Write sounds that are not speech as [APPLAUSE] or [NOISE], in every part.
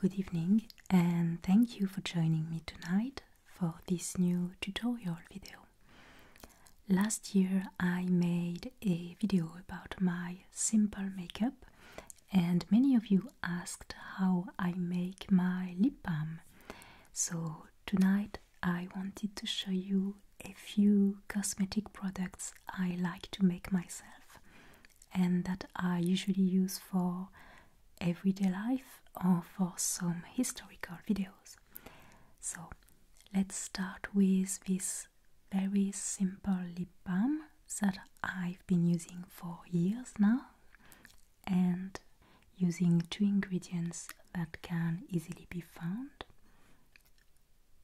Good evening, and thank you for joining me tonight for this new tutorial video. Last year I made a video about my simple makeup and many of you asked how I make my lip balm. So tonight I wanted to show you a few cosmetic products I like to make myself and that I usually use for everyday life or for some historical videos. So let's start with this very simple lip balm that I've been using for years now and using two ingredients that can easily be found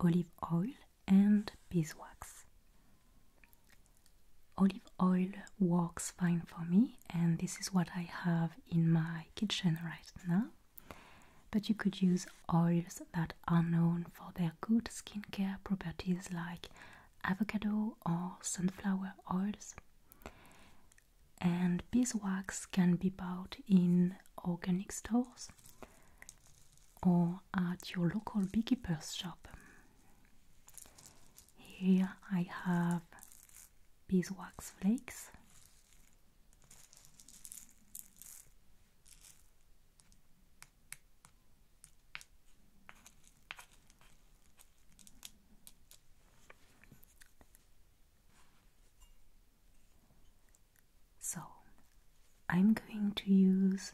olive oil and beeswax. Olive oil works fine for me, and this is what I have in my kitchen right now. But you could use oils that are known for their good skincare properties, like avocado or sunflower oils. And beeswax can be bought in organic stores or at your local beekeeper's shop. Here I have beeswax flakes so I'm going to use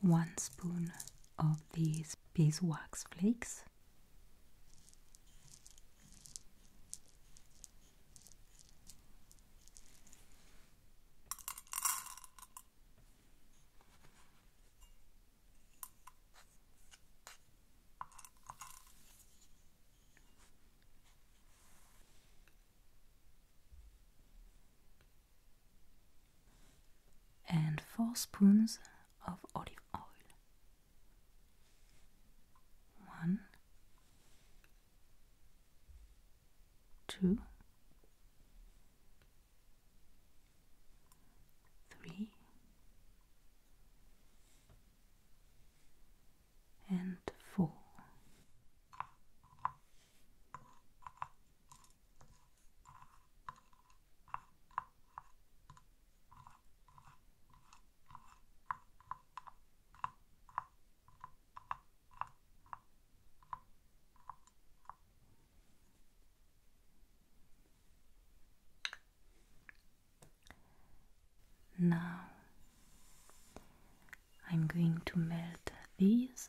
one spoon of these beeswax flakes and four spoons of olive oil. One, two, three, and four. Now I'm going to melt these.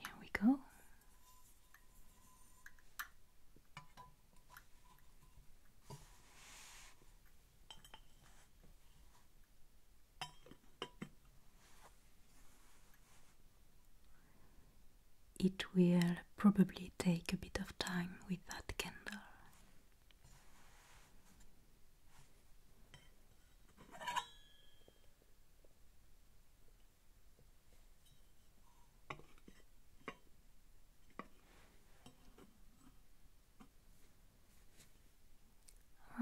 Here we go. It will probably take a bit of time with that candle.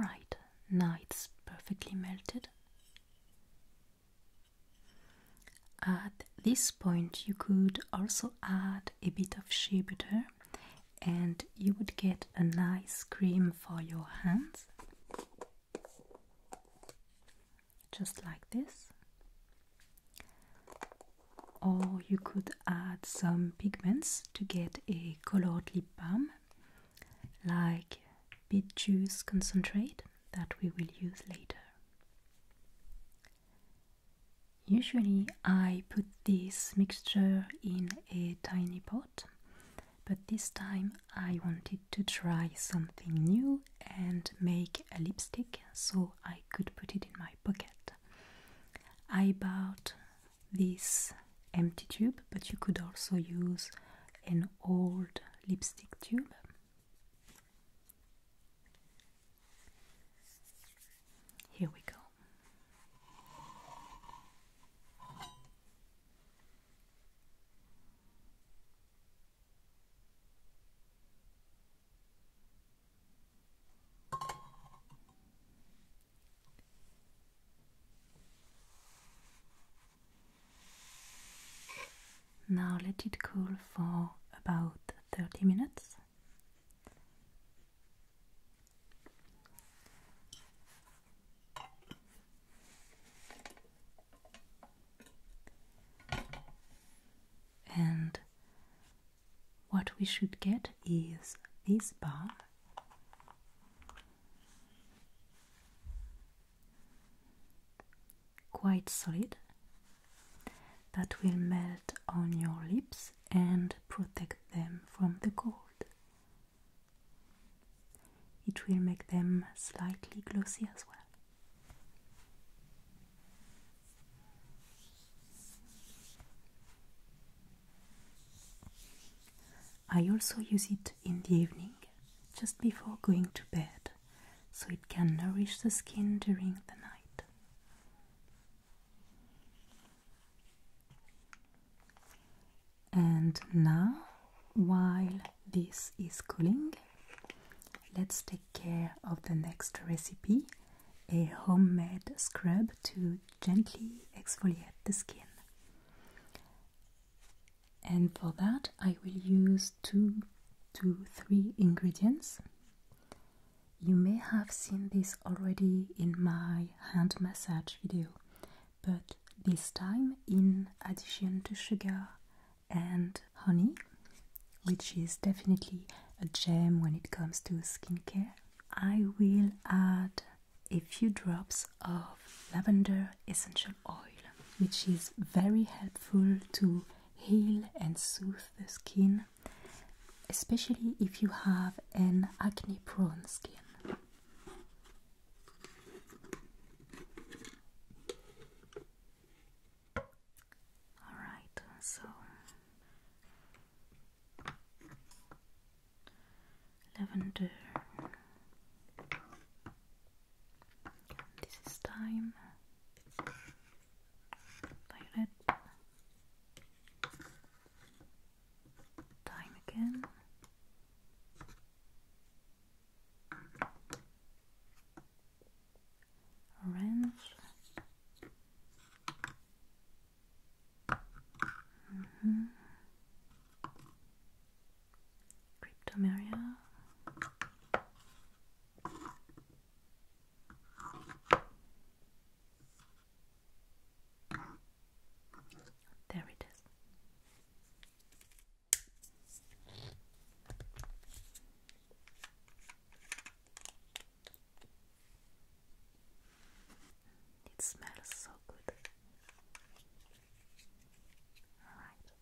Right, now it's perfectly melted. At this point, you could also add a bit of shea butter and you would get a nice cream for your hands, just like this. Or you could add some pigments to get a colored lip balm, like beet juice concentrate that we will use later. Usually, I put this mixture in a tiny pot but this time I wanted to try something new and make a lipstick so I could put it in my pocket. I bought this empty tube, but you could also use an old lipstick tube. Here we go. Now let it cool for about 30 minutes and what we should get is this bar quite solid that will melt on your lips and protect them from the cold. It will make them slightly glossy as well. I also use it in the evening just before going to bed so it can nourish the skin during the night. And now, while this is cooling, let's take care of the next recipe a homemade scrub to gently exfoliate the skin. And for that, I will use two to three ingredients. You may have seen this already in my hand massage video, but this time in addition to sugar and honey, which is definitely a gem when it comes to skincare. I will add a few drops of lavender essential oil, which is very helpful to heal and soothe the skin, especially if you have an acne prone skin. Alright, so lavender. This is time. Violet. Time again. Orange. Mm -hmm. Cryptomeria. There it is. It smells so good. All right.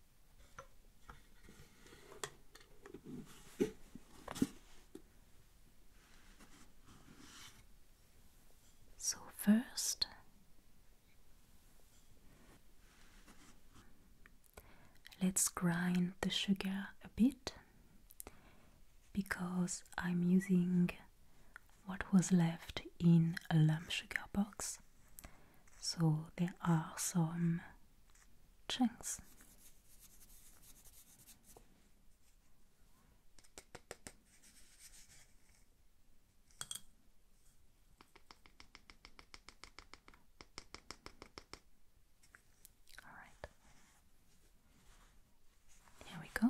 So, first, let's grind the sugar a bit because I'm using what was left in a lump sugar box, so there are some chunks. All right. Here we go.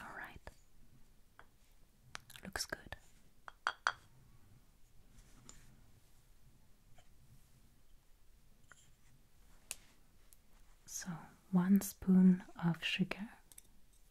All right. Looks good. So, one spoon of sugar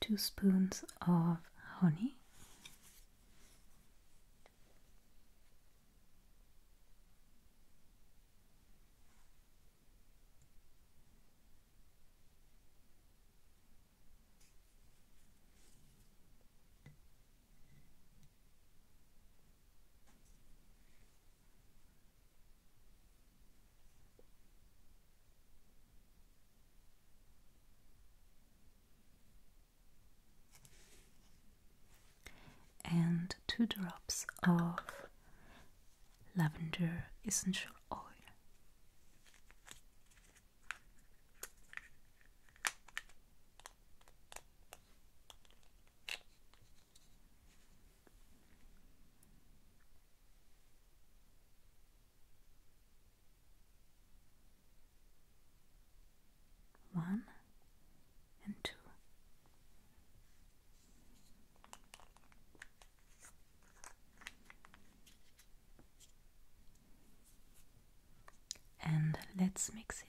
Two spoons of honey and two drops of lavender essential oil. One and two and let's mix it.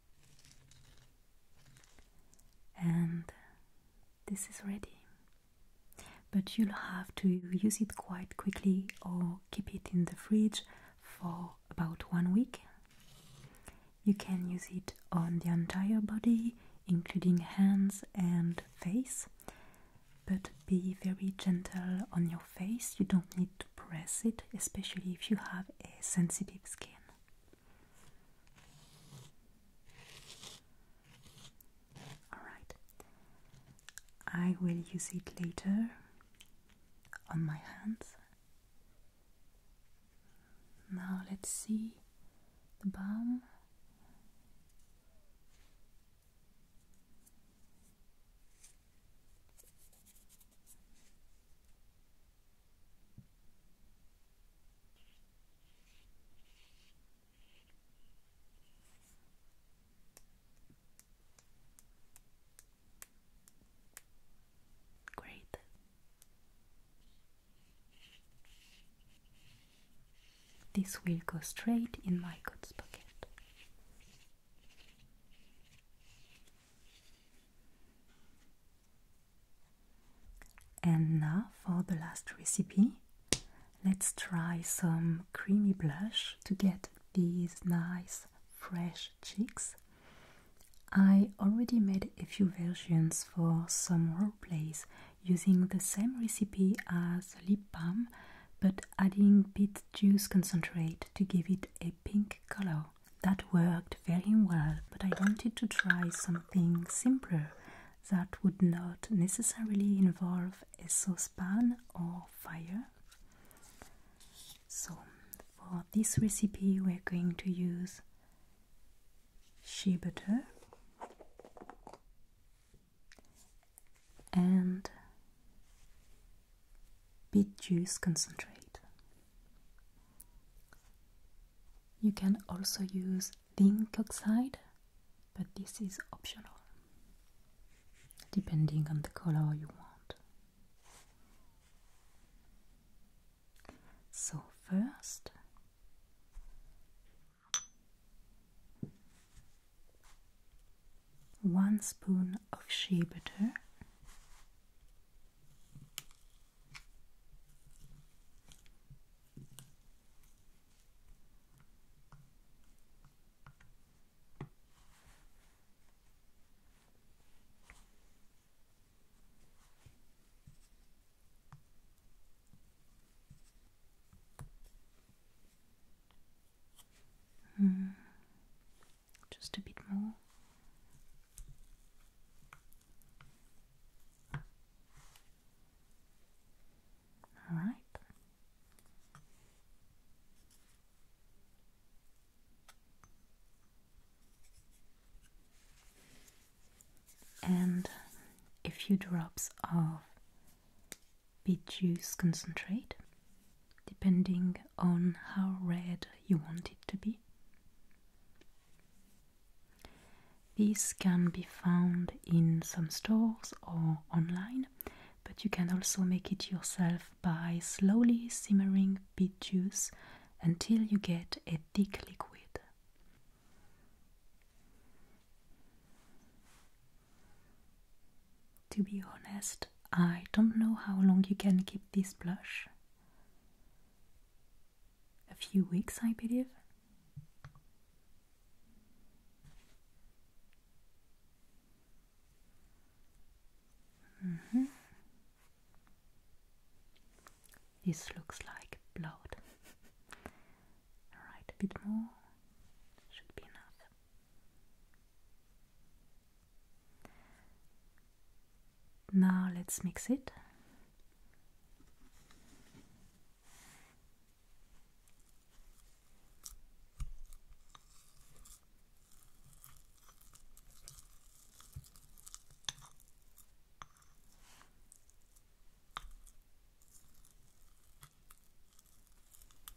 and this is ready but you'll have to use it quite quickly or keep it in the fridge for about one week you can use it on the entire body including hands and face but be very gentle on your face you don't need to press it especially if you have a sensitive skin Alright, I will use it later on my hands. Now let's see the balm. Great. This will go straight in my coat's pocket. And now for the last recipe, let's try some creamy blush to get these nice fresh cheeks. I already made a few versions for some role plays using the same recipe as lip balm but adding beet juice concentrate to give it a pink color. That worked very well, but I wanted to try some something simpler that would not necessarily involve a saucepan or fire. So, for this recipe, we're going to use shea butter and beet juice concentrate. You can also use zinc oxide, but this is optional, depending on the color you want. So, first, one spoon of shea butter Mm. Just a bit more. All right. And a few drops of beet juice concentrate, depending on how red you want it to be. This can be found in some stores or online, but you can also make it yourself by slowly simmering beet juice until you get a thick liquid. To be honest, I don't know how long you can keep this blush. A few weeks, I believe. Mm -hmm. This looks like blood. [LAUGHS] Alright, a bit more should be enough. Now let's mix it.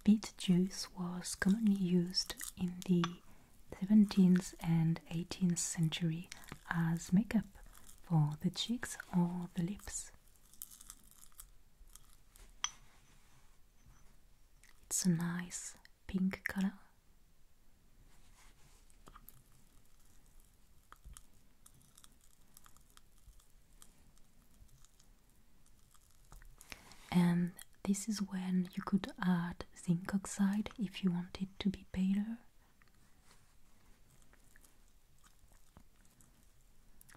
Beet juice was commonly used in the 17th and 18th century as makeup for the cheeks or the lips. It's a nice pink color. And this is when you could add zinc oxide if you want it to be paler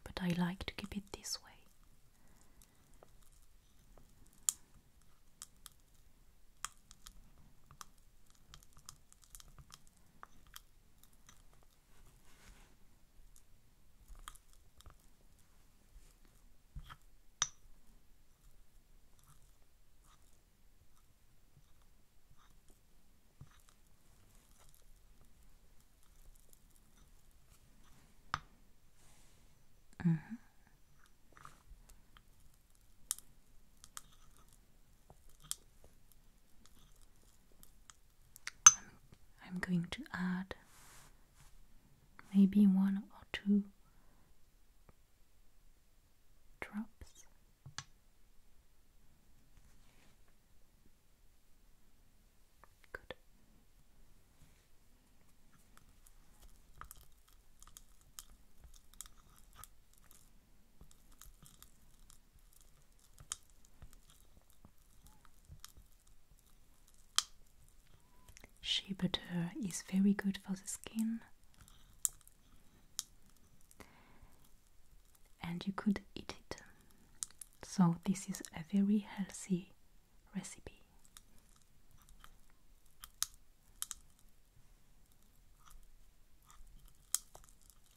but I like to keep it this way. Mm -hmm. I'm going to add maybe one or two drops Good. Shea butter is very good for the skin and you could eat it. So, this is a very healthy recipe.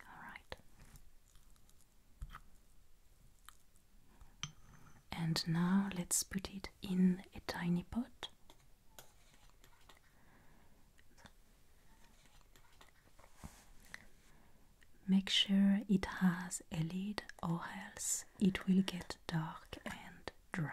All right. And now let's put it in a tiny pot Make sure it has a lid or else it will get dark and dry.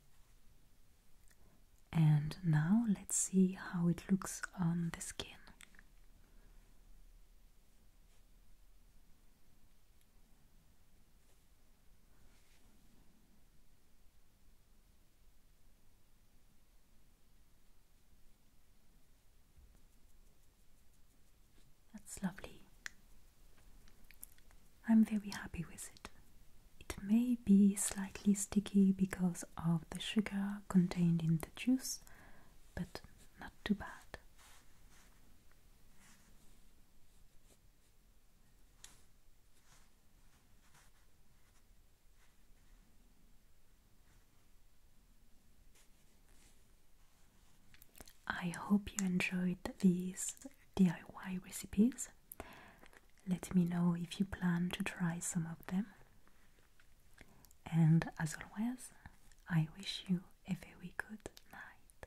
And now let's see how it looks on the skin. That's lovely. I'm very happy with it. It may be slightly sticky because of the sugar contained in the juice, but not too bad. I hope you enjoyed these DIY recipes. Let me know if you plan to try some of them. And as always, I wish you a very good night.